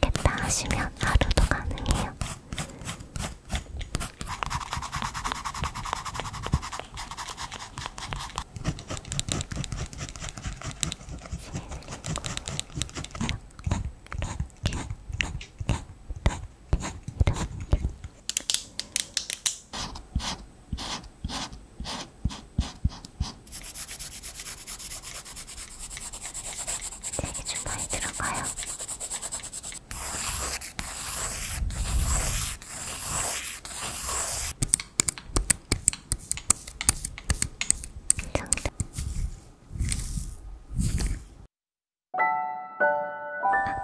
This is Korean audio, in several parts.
겠다 하시면 하루도 가능해요. 이렇게, 이렇게, 이렇게, 이렇게. 얘기 좀 많이 들어가요. 정답. 아,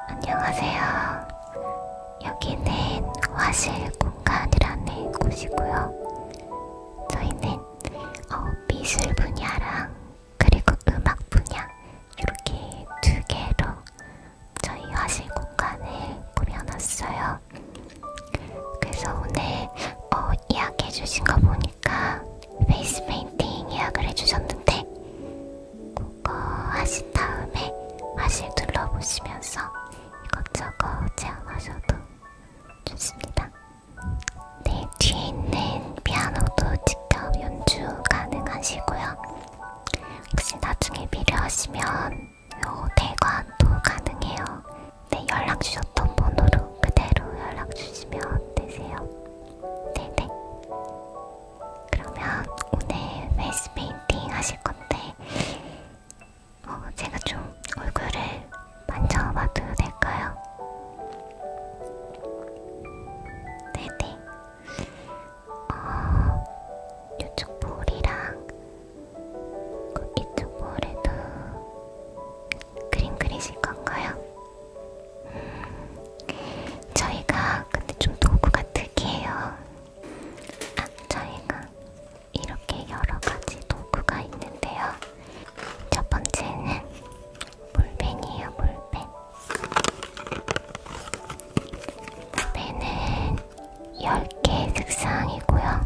안녕하세요. 여기는 화실 공간이라는 곳이고요. 저희는 어, 미술 분야랑 그리고 음악 분야 이렇게 두 개로 저희 화실 공간을 꾸며놨어요. 그래서 오늘 어, 예약해 주신 거 보니까 페이스 페인팅 예약을 해주셨는데 그거 하신 다음에 화실 둘러보시면서 이것저것 체험하셔도 좋습니다. 네, 뒤에 있는 피아노도 직접 연주 가능하시고요. 혹시 나중에 필요하시면 요 대관도 가능해요. 네, 연락 주셨던 번호로 그대로 연락 주시면 되세요. 네네. 네. 그러면 오늘 페이스 페인팅 하실 건데, 어, 제가 좀 얼굴을 만져봐도 될까요? 네네. 어, 이쪽 볼이랑 그 이쪽 볼에도 그림 그리실 건가요? 음, 저희가 근데 좀 도구가 특이해요. 아, 저희가 이렇게 여러 가지 도구가 있는데요. 첫 번째는 볼펜이에요, 볼펜. 볼펜은 10개 색상이고요.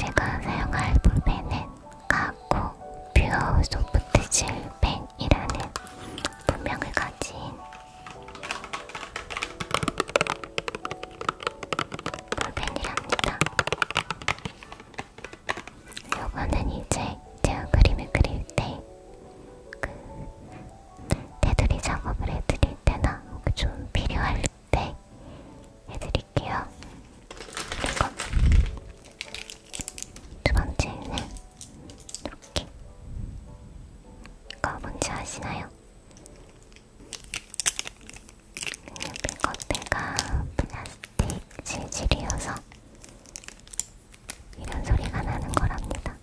제가 사용할 볼펜은 가쿠 퓨어 소프트질 펜이라는 분명을 가진 볼펜이랍니다. 요거는 이제 제가 그림을 그릴 때그 테두리 작업을 해드릴 때나 좀 필요할 때 해드릴게요. 그리고 두 번째는 이렇게 이거 뭔지 아시나요? 그냥 이거 내가 플라스틱 빅 실질이어서 이런 소리가 나는 거랍니다.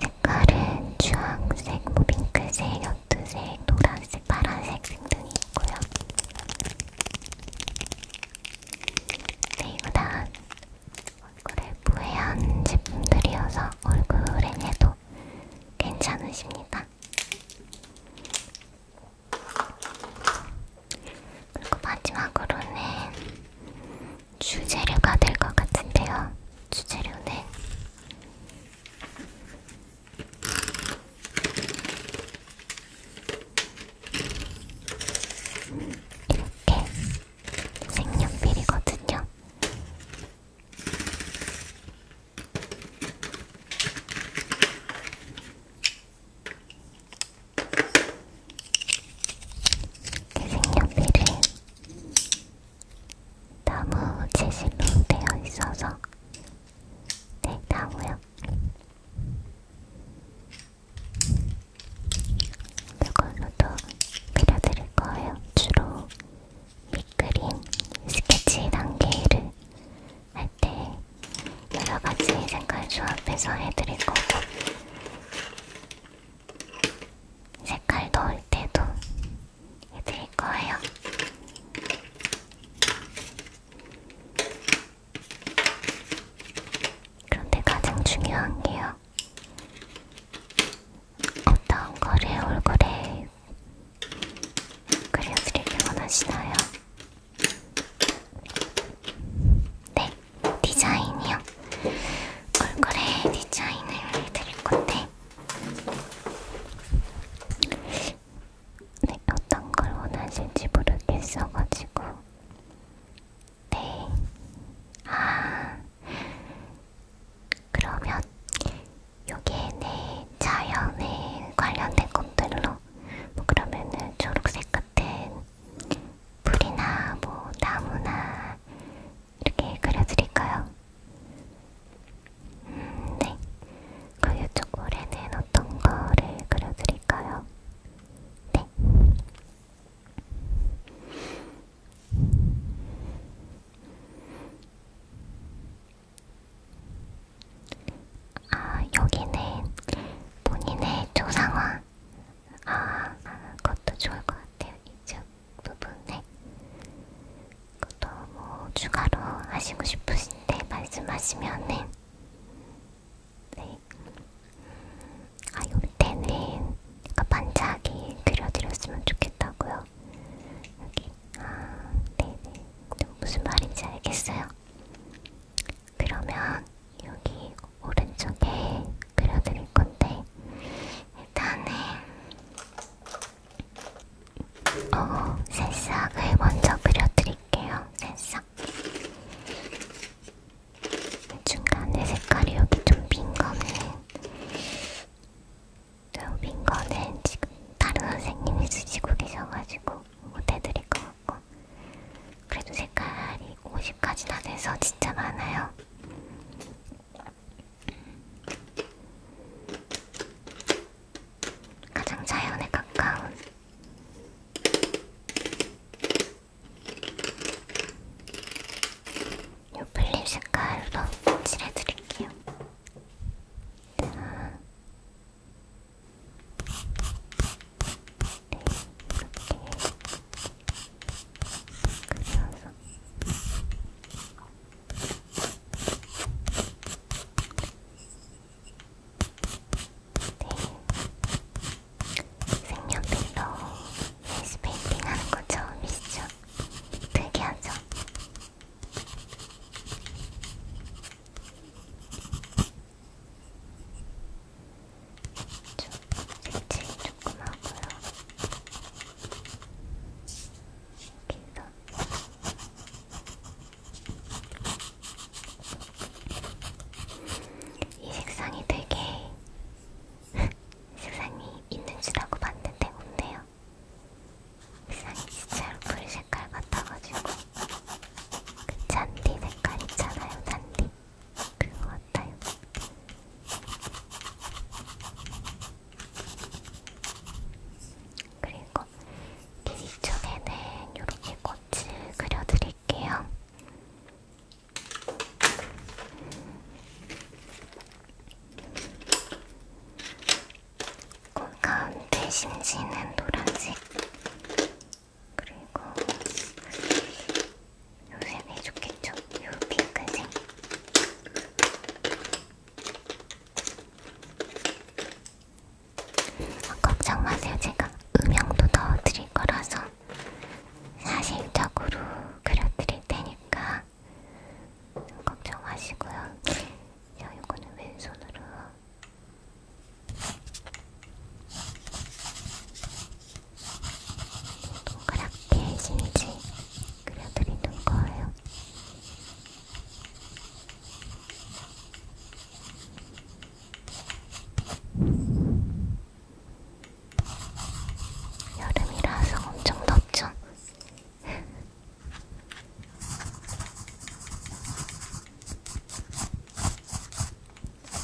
색깔은 주황색, 뭐 핑크색, 연두색, 노란색, 파란색 등등이 있고요. 네, 이거 다 얼굴에 부해한 제품들이어서 얼굴에 해도 괜찮으십니다. 그리고 마지막으로는 주재료가 될 것 같은데요. 주재료는 이렇게 색연필이거든요. 대생연필은 나무 재질로 되어 있어서 네, 나무요. 이걸로도 밀어드릴 거예요. 주로 이 그림 스케치 단계를 할 때 여러가지 색깔 조합해서 해드릴 거고 색깔 넣을 때도 해드릴 거예요. 그런데 가장 중요한 게요. 어떤 거를 얼굴에 그려드리길 원하시나요? 네, 디자인이요. 얼굴에 디자인을 드릴 건데, 네, 어떤 걸 원하실지 모르겠어가지고, 네, 아, 그러면 여기에 내 자연에 관련된 것들로 뭐 그러면은 초록색 같은 풀이나 뭐 나무나 이렇게 그려드릴까요? 음, 네. 그리고 이쪽 올해는 어떤 거를 그려드릴까요? 네. 아, 여기는 본인의 조상화. 아, 그것도 좋을 것 같아요. 이쪽 부분에. 그것도 뭐 추가로 하시고 싶으신데 말씀하시면은. 네. 아, 요때는 그러니까 반짝이 그려드렸으면 좋겠다고요. 여기 아 네네 네. 무슨 말인지 알겠어요. 그러면 여기 오른쪽에 그려드릴 건데 일단은 어 새싹을 먼저 그려드릴게요. 새싹. 중간에 색깔이 여기 좀 빈 거는 윈 거는 지금 다른 선생님이 쓰시고 계셔가지고 못해드릴 것 같고 그래도 색깔이 50까지나 돼서 진짜 많아요. 가장 자연에 가까운 이 플립 색깔로 칠해드릴게요. 네. 네, 이렇게 그려서 네, 생년필로 페이스페인팅 하는 거 처음이시죠? 특이하죠? 좀 색칠 조금 하고요. 여기서 이 색상이 되게 색상이 있는 줄 알고 봤는데 없네요. 같아요. 이상해 진짜로 불 색깔 같아가지고 그 잔디 색깔 있잖아요 잔디 그거 같아요. 그리고 귀 쪽에는 이렇게 꽃을 그려드릴게요. 곰가운데 심지는 노란색 그리고 요새는 좋겠죠? 요 핑크색 아, 걱정 마세요 제가 음영도 넣어드릴 거라서 사실적으로 그려드릴 테니까 걱정 마시고요. 자, 이거는 왼손으로. 동그랗게 심지 그려드리는 거예요. 여름이라서 엄청 덥죠?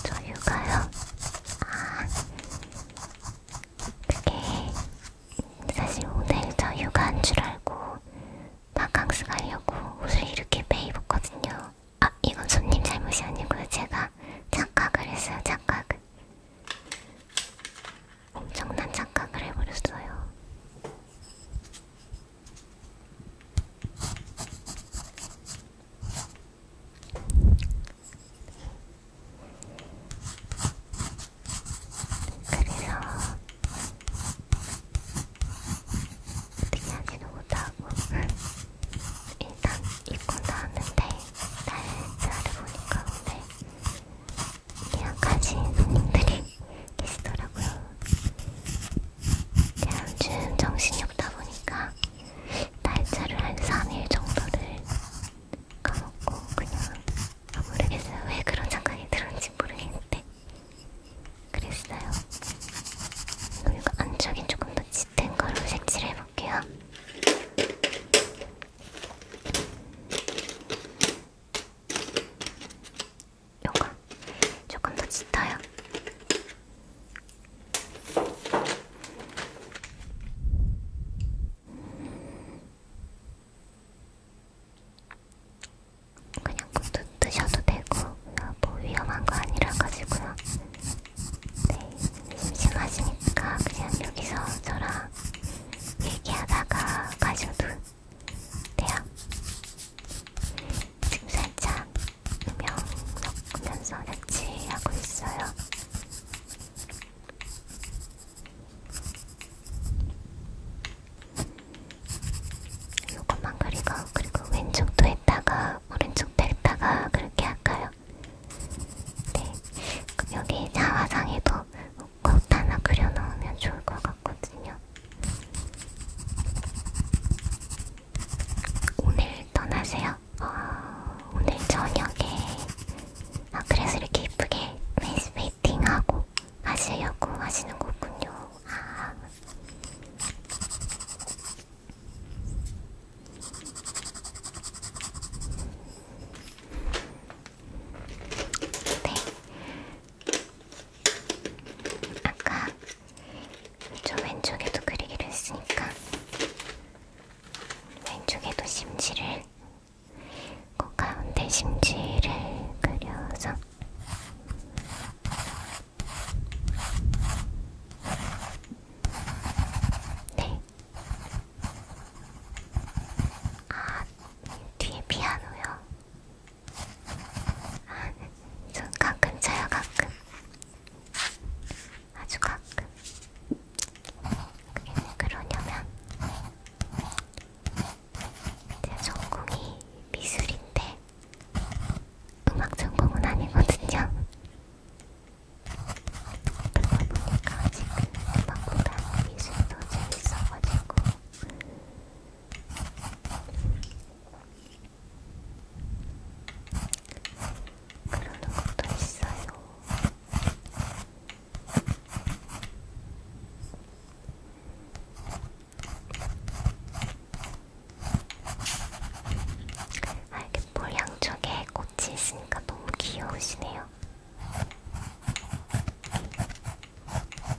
저 휴가요? 아, 그게 사실 오늘 저 휴가인 줄 알고 바캉스 가려고 옷을 이렇게 빼입었거든요. 아, 이건 손님 잘못이 아니고요. 제가 착각을 했어요, 착각을. 엄청난 착각을 해버렸어요. 그래서 어떻게 하지도 못하고 일단 입고 나왔는데 날짜를 보니까 근데 여기까지 손님들이 계시더라고요. 제가 요즘 정신이 없다 보니까 날짜를 한 3일 정도를 까먹고 그냥 모르겠어요. 왜 그런 생각이 들었는지 모르겠는데 그랬어요. 그리고 안쪽이 조금 더 짙은 걸로 색칠해볼게요. 요거 조금 더 짙어요. 그냥 또 드셔도 되고 뭐 위험한 거 아니라 가지고요. 네, 심심하시니까 그냥 여기서 저랑 얘기하다가 가셔도 어때요? 지금 살짝 음영 넣으면서 납치하고 있어요. 요것만 그리고 그리고 왼쪽도 했다가 오른쪽도 했다가 그렇게 할까요? 네. 그럼 여기 자화상에도 꼭 하나 그려 넣으면 좋을 것 같거든요. 오늘 떠나세요? 어, 오늘 저녁에 아 그래서 이렇게 예쁘게 페이스 페이팅하고 하시려고 하시는 거군요. 아. 네, 아까 저 왼쪽에도 그리기로 했으니까 왼쪽에도 심지를 그 가운데 심지를 그려서 네. 아, 뒤에 피아노요. 전 가끔 자요 가끔 아주 가끔 그게 왜 그러냐면 제 전공이 미술인데 음악 전공은 아니거든요 그러다 보니까 지금 음악보다 미술이 더 재밌어가지고 그러는 것도 있어요. 아, 이렇게 볼 양쪽에 꽃이 있으니까 너무 귀여우시네요.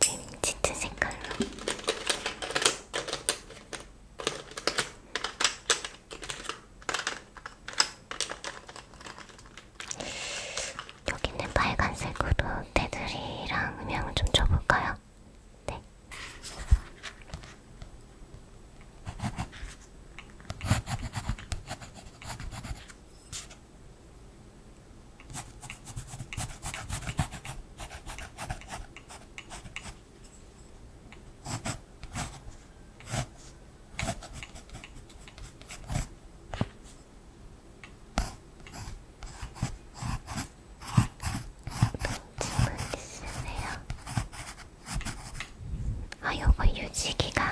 네, 짙은 색깔로. 여기 있는 빨간색으로 테두리랑 음영을 좀 줘볼까요? 네. 있으세요? 아, 요거 유지기간,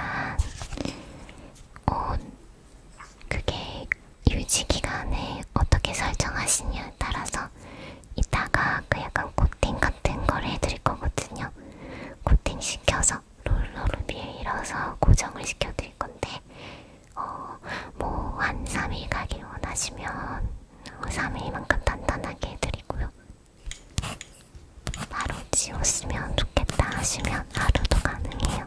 온, 그게 유지 기간을 어떻게 설정하시냐에 따라서 이따가 그 약간 코팅 같은 거를 해드릴 거거든요. 코팅 시켜서 롤러로 밀어서 고정을 시켜드릴 건데, 어, 뭐, 한 3일 가길 원하시면 3일만큼 단단하게 해드리고요. 바로 지웠으면 좋겠다 하시면 하루도 가능해요.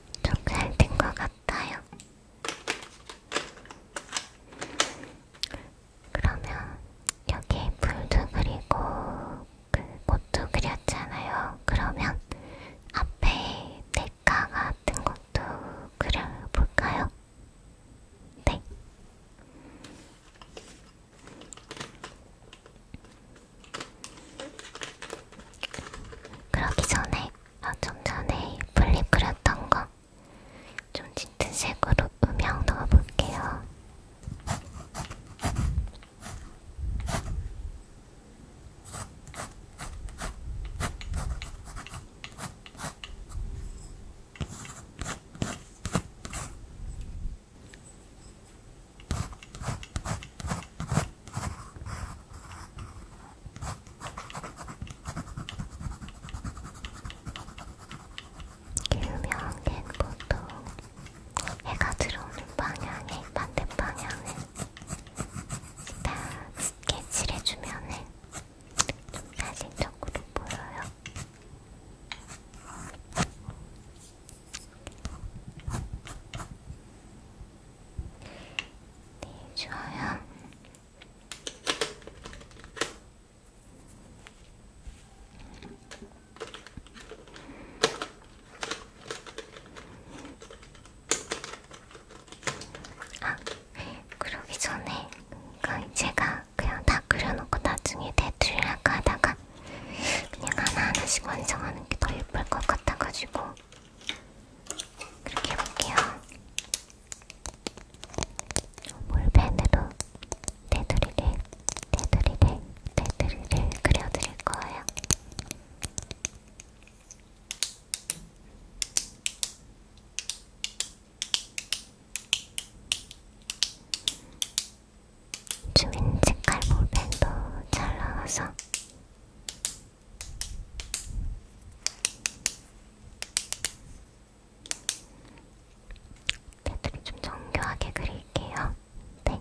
좀잘된것 같아요. 그러면 여기 불도 그리고 그 꽃도 그렸잖아요. 그러면 앞에 대가 같은 것도 그려볼까요? 네. 그러기 전에 아, 좀 전에 플립 그렸던 거좀 짙은 색으로 음영 넣어볼게요. 길면 걘 보통 해가 들어오는 방향에 반대 방향을 다 스케치를 해주면 좀 사진적으로 보여요. 네, 좋아요. 아, 그러기 전에 그러니까 제가 그냥 다 그려놓고 나중에 대출을 할까 하다가 그냥 하나하나씩 완성하는 게더 예쁠 것 같아가지고 그렇게 해볼게요. 볼펜으로 테두리를, 테두리를, 테두리를 그려드릴 거예요. 주민 색깔 볼펜도 잘 나와서 테두리 좀 정교하게 그릴게요. 네.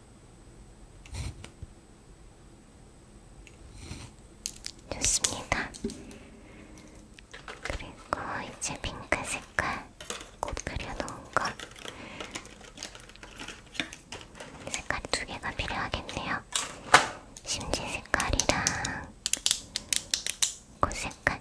좋습니다. 그리고 이제 핑크 색깔 꽃 그려놓은 거 색깔 두 개가 필요하겠네요. 심지 색깔이랑 꽃 색깔.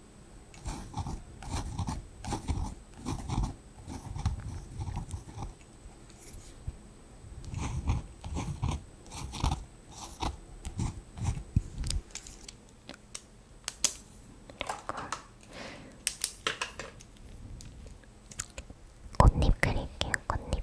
꽃잎 그릴게요. 꽃잎.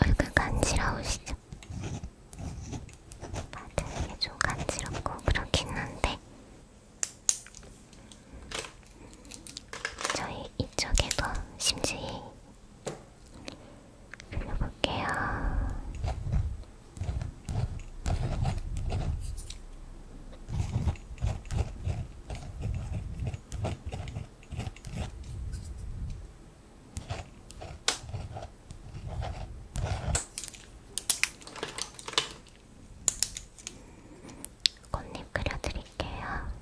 얼굴 간지러우시죠? 다들 이게 좀 간지럽고 그렇긴 한데 저희 이쪽에도 심지히 돌려볼게요. 꽃잎 그려드릴게요.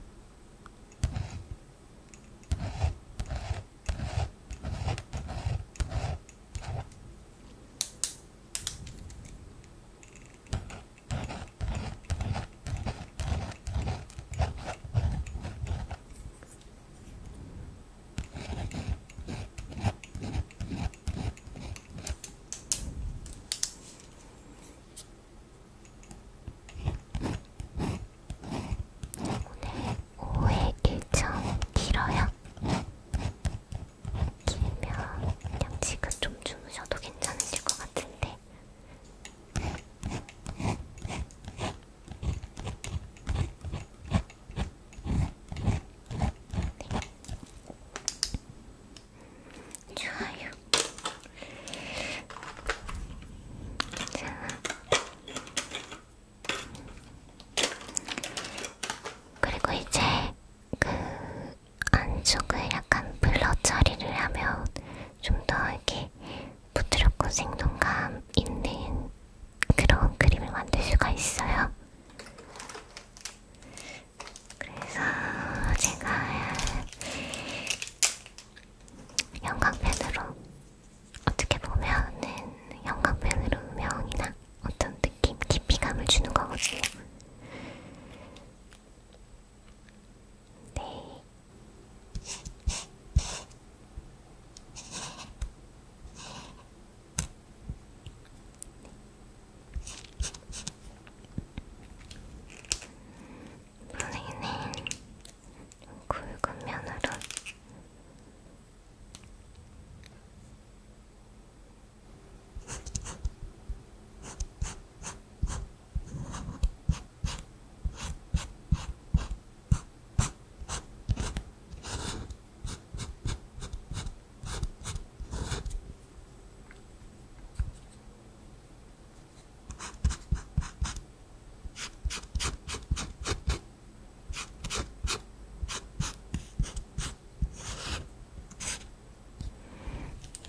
오늘 5회 일정 길어요? 길면 그냥 지금 좀 주무셔도 괜찮으실 것 같은데 좋아요. 자, 그리고 이제 그 안쪽을 약간 블러 처리를 하면 좀더 이렇게 부드럽고 생동감 있는 그런 그림을 만들 수가 있어요. 그래서 제가 영광펜으로 어떻게 보면은 영광펜으로 음영이나 어떤 느낌, 깊이감을 주는 거거든요. 네. 원래는 굵은 면으로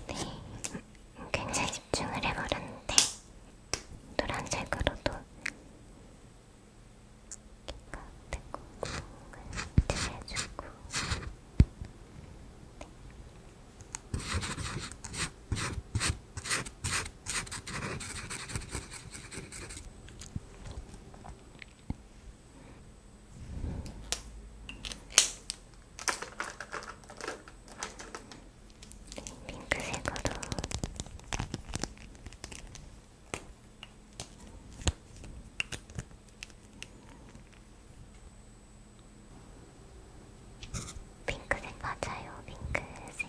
네, 굉장히 집중을 해버렸는데 노란색으로도 귀가 되고 구멍을 칠해주고 네. 핑크색으로 핑크색 맞아요, 핑크색.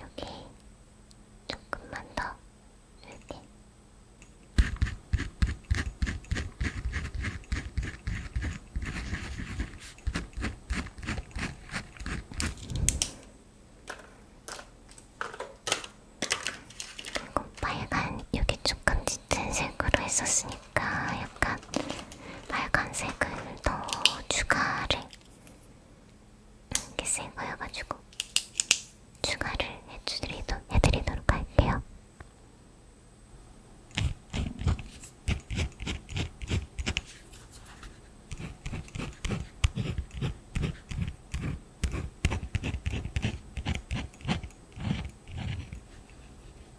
여기 조금만 더 이렇게 그리고 빨간 여기 조금 짙은 색으로 했었으니까 보니까 약간 빨간색을 더 추가를 이렇게 센 거여가지고 추가를 해드리도, 해드리도록 할게요.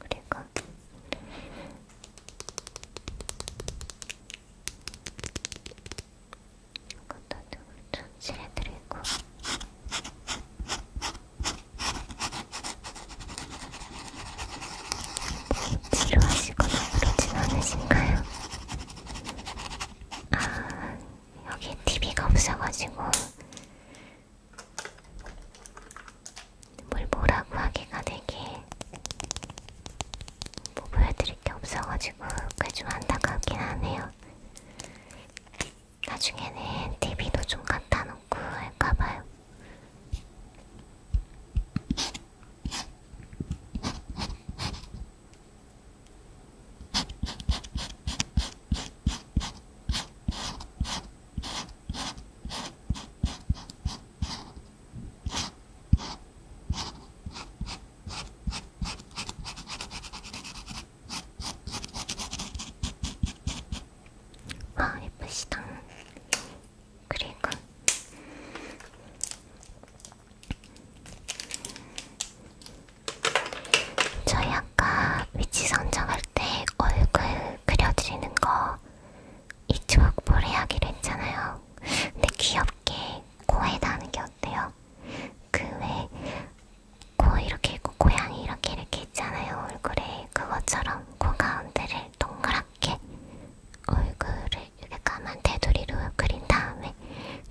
그리고 이것도 좀 조치해드리고 필요하시거나 그러진 않으신가요? 아, 여기 TV가 없어가지고 뭘 뭐라고 하기가 되게 뭐 보여드릴 게 없어가지고 꽤좀 안타깝긴 하네요. 나중에는 TV도 좀 갖다 놓고 할까봐요. 와 아, 예쁘시다. 그리고 저희 아까 위치 선정할 때 얼굴 그려드리는 거이 조각볼 해하기로 했잖아요. 근데 귀엽게 코에다 하는 게 어때요? 그왜코 이렇게 있고 고양이 이렇게 이렇게 있잖아요. 얼굴에 그것처럼 코 가운데를 동그랗게 얼굴을 이렇게 까만 테두리로 그린 다음에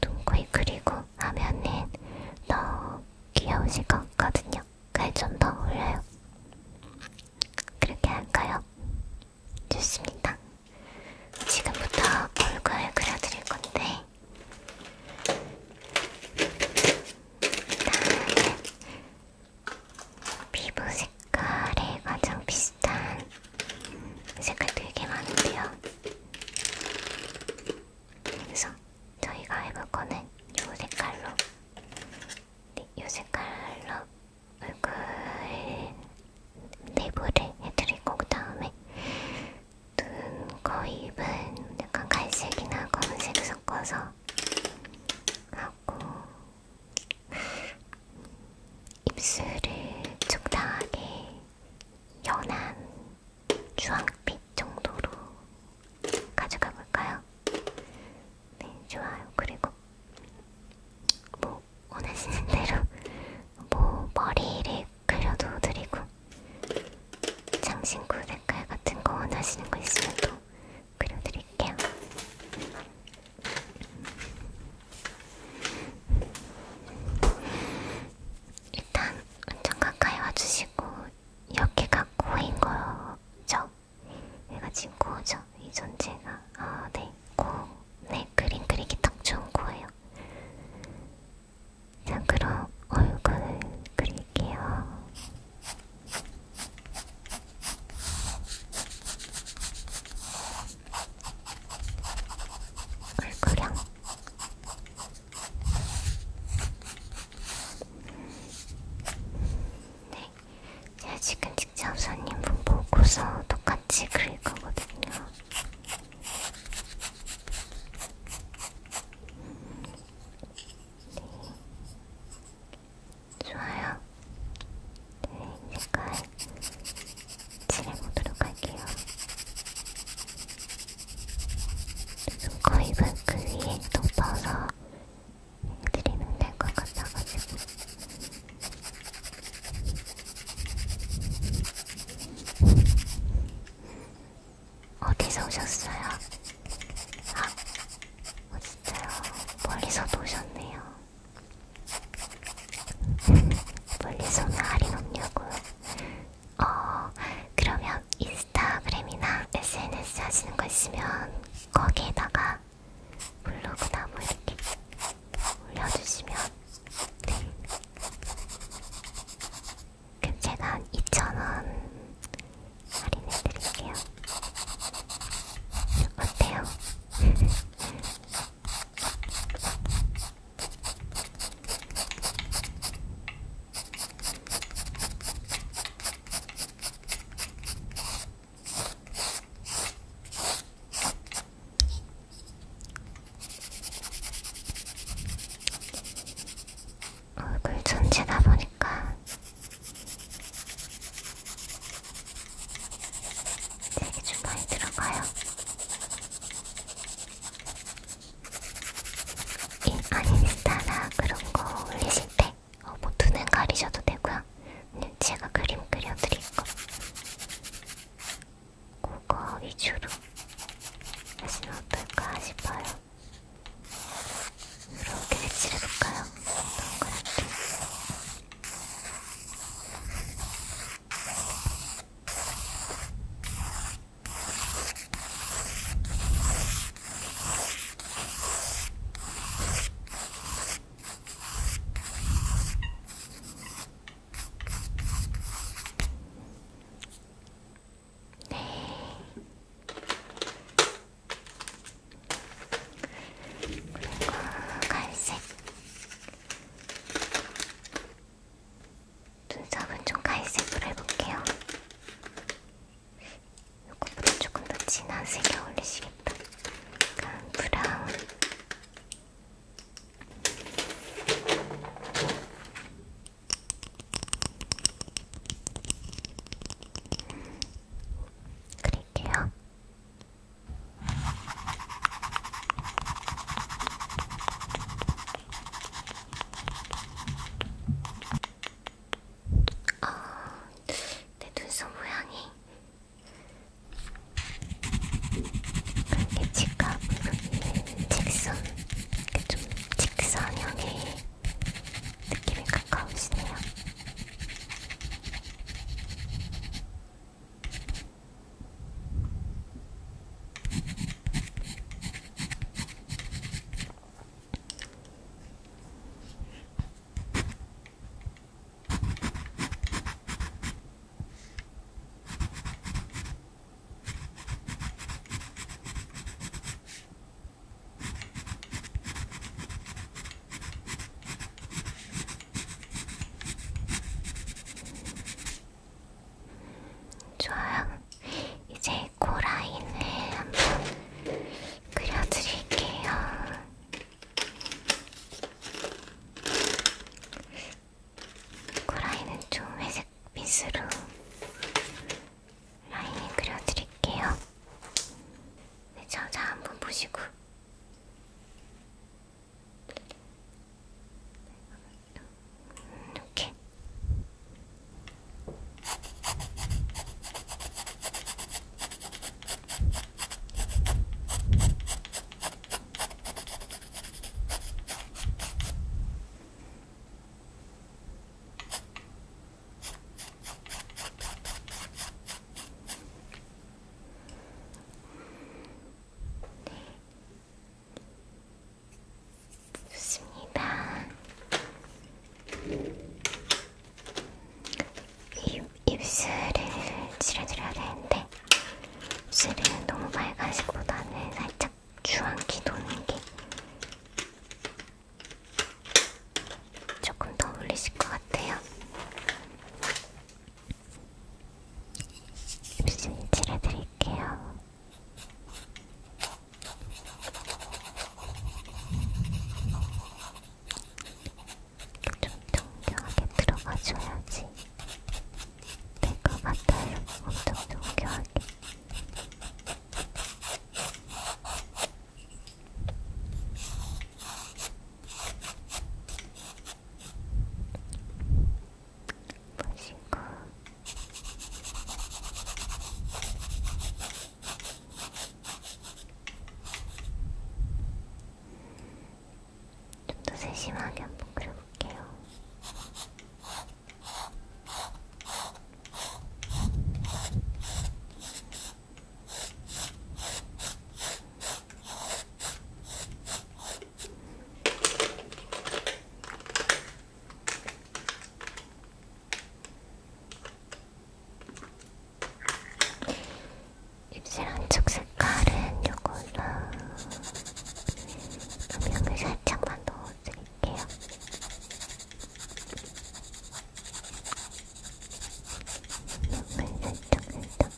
눈코입 그리고 하면은 너무 귀여우실 것 같거든요. 올려요. 칼좀더 올려요. 그렇게 할까요? 좋습니다. 지금부터 얼굴 그려드릴 건데 일단은 피부 색깔에 가장 비슷한 색깔 되게 많은데요. 그래서 저희가 해볼 거는 이 색깔로 유색칼로 네, 얼굴 내부를 해드리고 그 다음에 눈, 코, 입은 약간 갈색이나 검은색 섞어서 하고 입술을 적당하게 연한 주황빛 정도로 가져가 볼까요? 네, 좋아요. 그리고 뭐 원하시는 대로 뭐 머리를 그려도 드리고 장신구 색깔 같은 거 원하시는 거 있으면 또 그려드릴게요. 일단 완전 가까이 와주시고 여기가 고인 거죠? 얘가 지금 고죠? 이 존재가 아 네, 고, 네 그림 그리기 딱 좋은 고예요. 자 그럼 얼굴을 그릴게요. 얼굴형 네 제가 지금 직접 손님분 보고서 똑같이 그릴 거거든요. 네. 좋아요. 네, 색깔 칠해보도록 할게요. 눈, 코, 입은 그 위에 덮어서 해드리면 될것 같아가지고. 어디서 오셨어요? 아, 어, 진짜요? 멀리서도 오셨네요. 멀리서는 할인 없냐고요? 어, 그러면 인스타그램이나 SNS 하시는 거 있으면 거기에다가 블로그 나무 이렇게 올려주시면 네. 그럼 제가 한 2,000원 할인해드릴게요. 어때요? 얼굴 전체다 보니까 되게 좀 많이 들어가요. 이 아니스타나 그런 거 올리실 때 어, 뭐 눈은 가리셔도 되고요. 그냥 네, 제가 그림 그려드릴 거. 그거 위주로 하시면 어떨까 싶어요. 이렇게 배치해볼까요? 동그랗게. 이렇게 네. 그리고 갈색. 눈썹은 좀 갈색으로 해볼게요. 요거보다 조금 더 진한 색이 어울리시겠다. 약간 브라운. 그릴게요. 아, 내 눈썹 모양이 그렇게 직각, 직선, 이렇게 그러니까 좀 직선형의 느낌이 가까우시네요. 좋아요. 이제 코 그 라인을 한번 그려드릴게요. 코라인은 좀 회색 빛으로 라인을 그려드릴게요. 네, 저자 한번 보시고. 이렇게. 좋습니다. 입, 입술을 칠해드려야 되는데 입술은 너무 빨간색보다는 살짝 주황기 도는 게 조금 더 어울리실 것 같아요. 입술 칠해드릴게요. 좀 정교하게 들어가줘야지 될 것 같아요. 엄청 정교하게. 보시고 좀더 세심하게 한번 그려볼게요. 입술 안쪽 색깔은 요걸로 음영을 살짝만 넣어드릴게요. 음영을 살짝 살짝.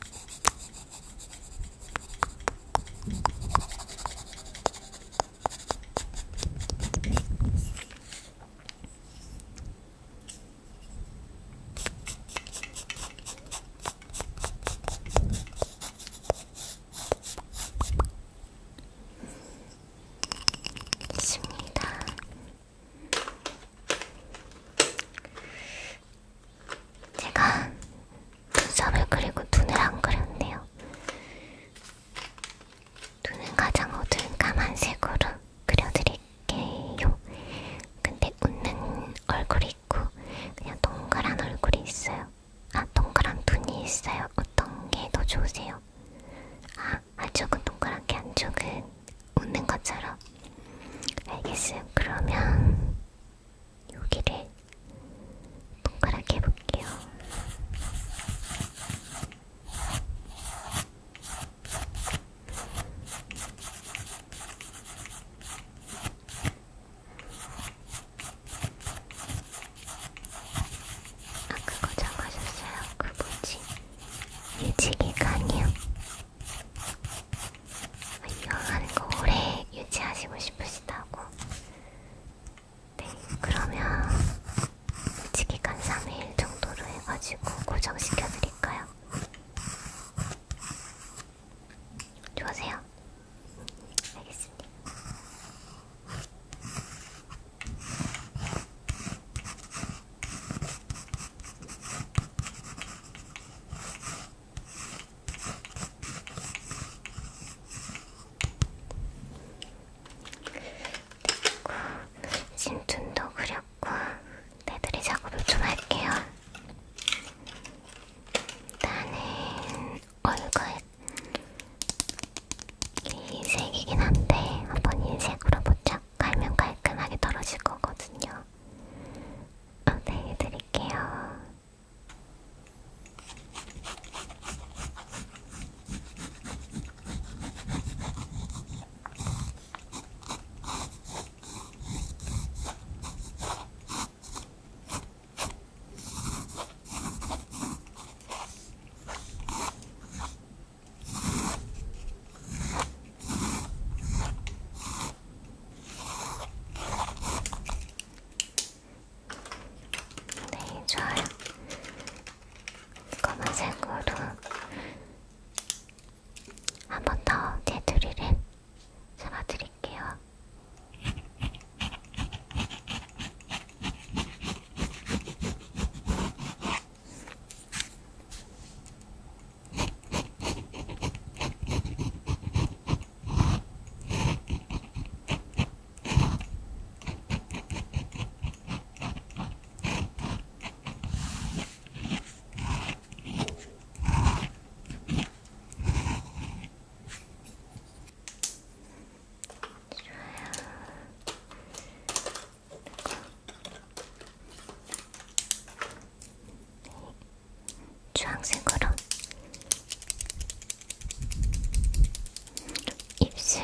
됐습니다. 제가 눈썹을 그리고 눈을 안 그렸네요. 눈은 가장 어두운 까만색으로 그려드릴게요. 근데 웃는 얼굴이 있고 그냥 동그란 얼굴이 있어요. 아, 동그란 눈이 있어요. 어떤 게 더 좋으세요? 아, 안쪽은 아, 동그란 게 안쪽은 웃는 것처럼. 알겠어요. 그러면 여기를 동그랗게 해볼게요. 아 그거 적어줬어요. 그 뭐지? 유지기간이요. 이용하는 거 오래 유지하시고 싶으시다고. 네, 그러면 유지기간 3일 정도로 해가지고 고정시켜드릴까요? 좋으세요? 알겠습니다. 신춘도 그렸고 테두리 작업을 좀 할게요. 일단은 얼굴 흰색이긴 한데 한번 흰색으로 보자. 갈면 깔끔하게 떨어질 거거든요. 안내해드릴게요. 어, 네, 좋아요. 검은색으로 한번더 테두리를 잡아드릴게요. 주황색으로 입술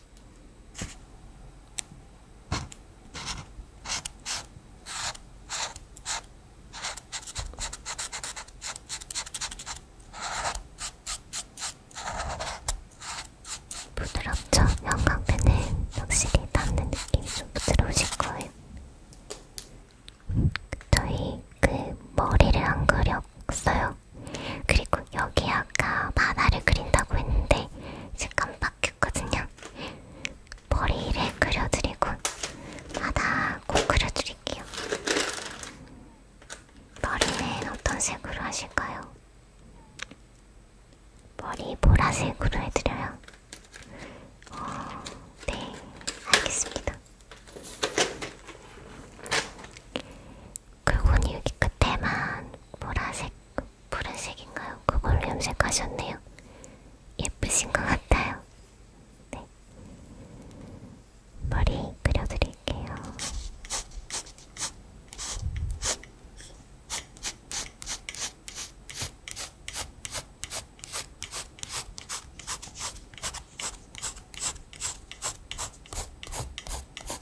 부드럽죠? 영광펜은 확실히 닿는 느낌이 좀 부드러우실 거예요. 저희 그 머리를 안 그렸어요. 있고요. 그리고 여기 아까 만화를 그린다고 했는데 잠깐 바뀌었거든요. 머리를 그려드리고 바다 꼭 그려드릴게요. 머리는 어떤 색으로 하실까요? 머리 보라색으로 해드려요. 어, 네, 알겠습니다. 그분이 여기 끝에만 보라색, 푸른색인가요? 그걸로 염색하셨네요. 예쁘신 것 같아요. 네. 머리 그려드릴게요.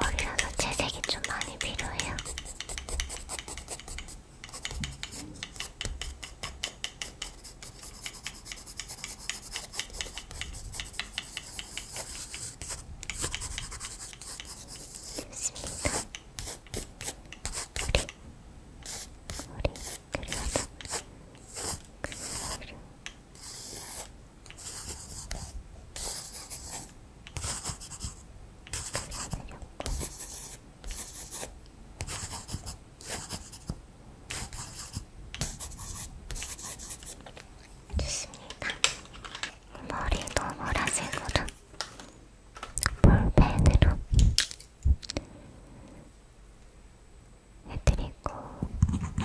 머리라서 채색이 좀 많이 필요해요. 됐습니다. 머리, 머리 그려서 그려. 좋습니다. 머리도 보라색으로 볼펜으로 해드리고 이렇게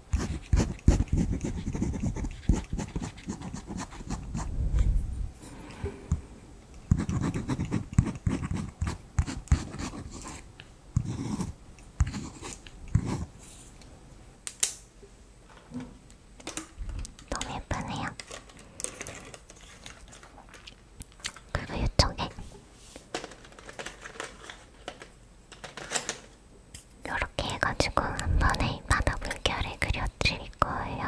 너무 예쁘네요. 그리고 이쪽에 이렇게 해가지고 한 번에 바다 물결을 그려드릴 거예요.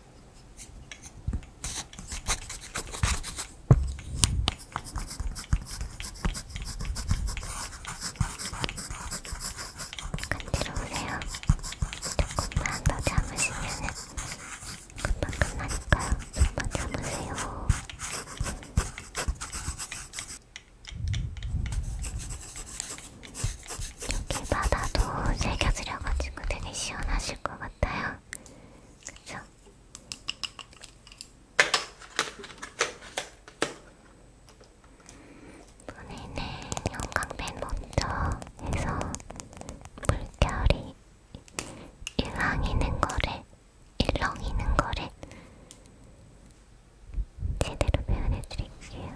건드려보세요. 조금만 더 잡으시면은 금방 끝나니까요. 조금만 잡으세요. 여기 바다도 새겨지려가지고 되게 시원하실 것 같아요. 그쵸? 그렇죠. 본인은 영광펜 먼저 해서 물결이 일렁이는 거를 일렁이는 거를 제대로 표현해 드릴게요.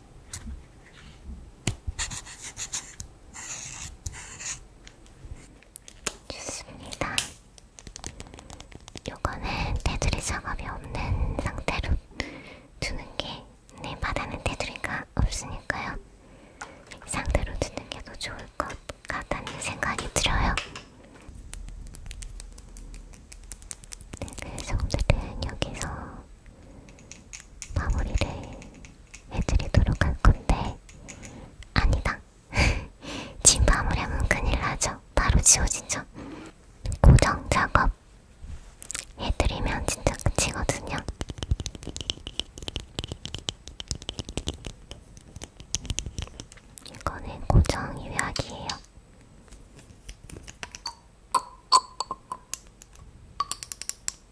좋습니다. 요거는 테두리 작업이 없는 상태로 두는 게, 네, 바다는 테두리가 없으니까요. 상대로 두는 게 더 좋을 것 같다는 생각이 들어요. 네, 그래서 오늘은 여기서 마무리를 해드리도록 할 건데 아니다. 지금 마무리하면 큰일 나죠. 바로 지워지죠. 고정 작업 해드리면 진짜 끝이거든요. 이거는 고정 유약이에요.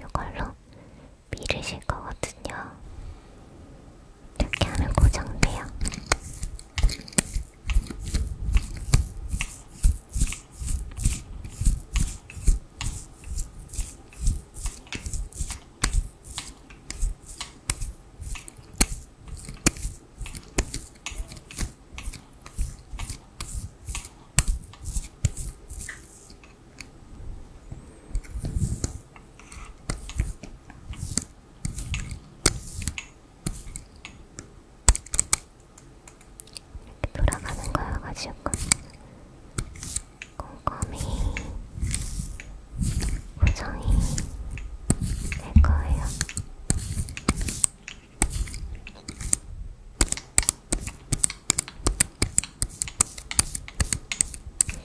약간 이걸로 밀으실 거거든요. 이렇게 하면 고정돼요. 돌아가는 거여가지고 꼼꼼히 고정이 될 거예요.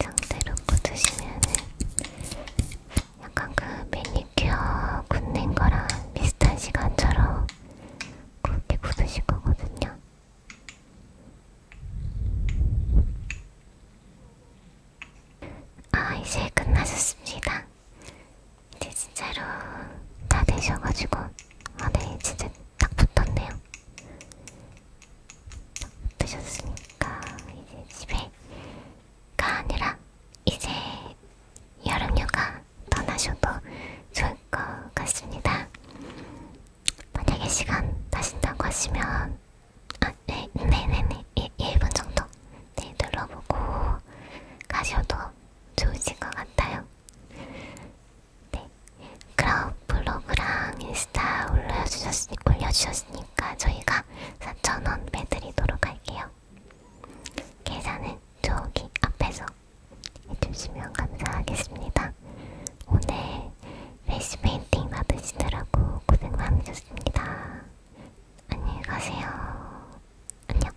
상태로 꽂으시면은 약간 그 매니큐어 굳는 거랑 비슷한 시간처럼 그렇게 굳으실 거거든요. 아, 이제 끝나셨습니다. 이제 진짜로 다 되셔가지고 아네 진짜 딱 붙었네요 딱 붙으셨으니까 이제 집에가 아니라 이제 여름휴가 떠나셔도 좋을 것 같습니다 만약에 시간 나신다고 하시면 아, 네, 네네네 네, 1분 예, 예, 정도 네, 눌러보고 가셔도 좋으신 것 같아요. 네, 그럼 블로그랑 인스타 올려주셨으니, 올려주셨으니까 저희가 4,000원 빼드리도록 할게요. 계산은 저기 앞에서 해주시면 감사하겠습니다. 오늘 레시 페인팅 받으시느라고 고생 많으셨습니다. 안녕히 가세요. 안녕.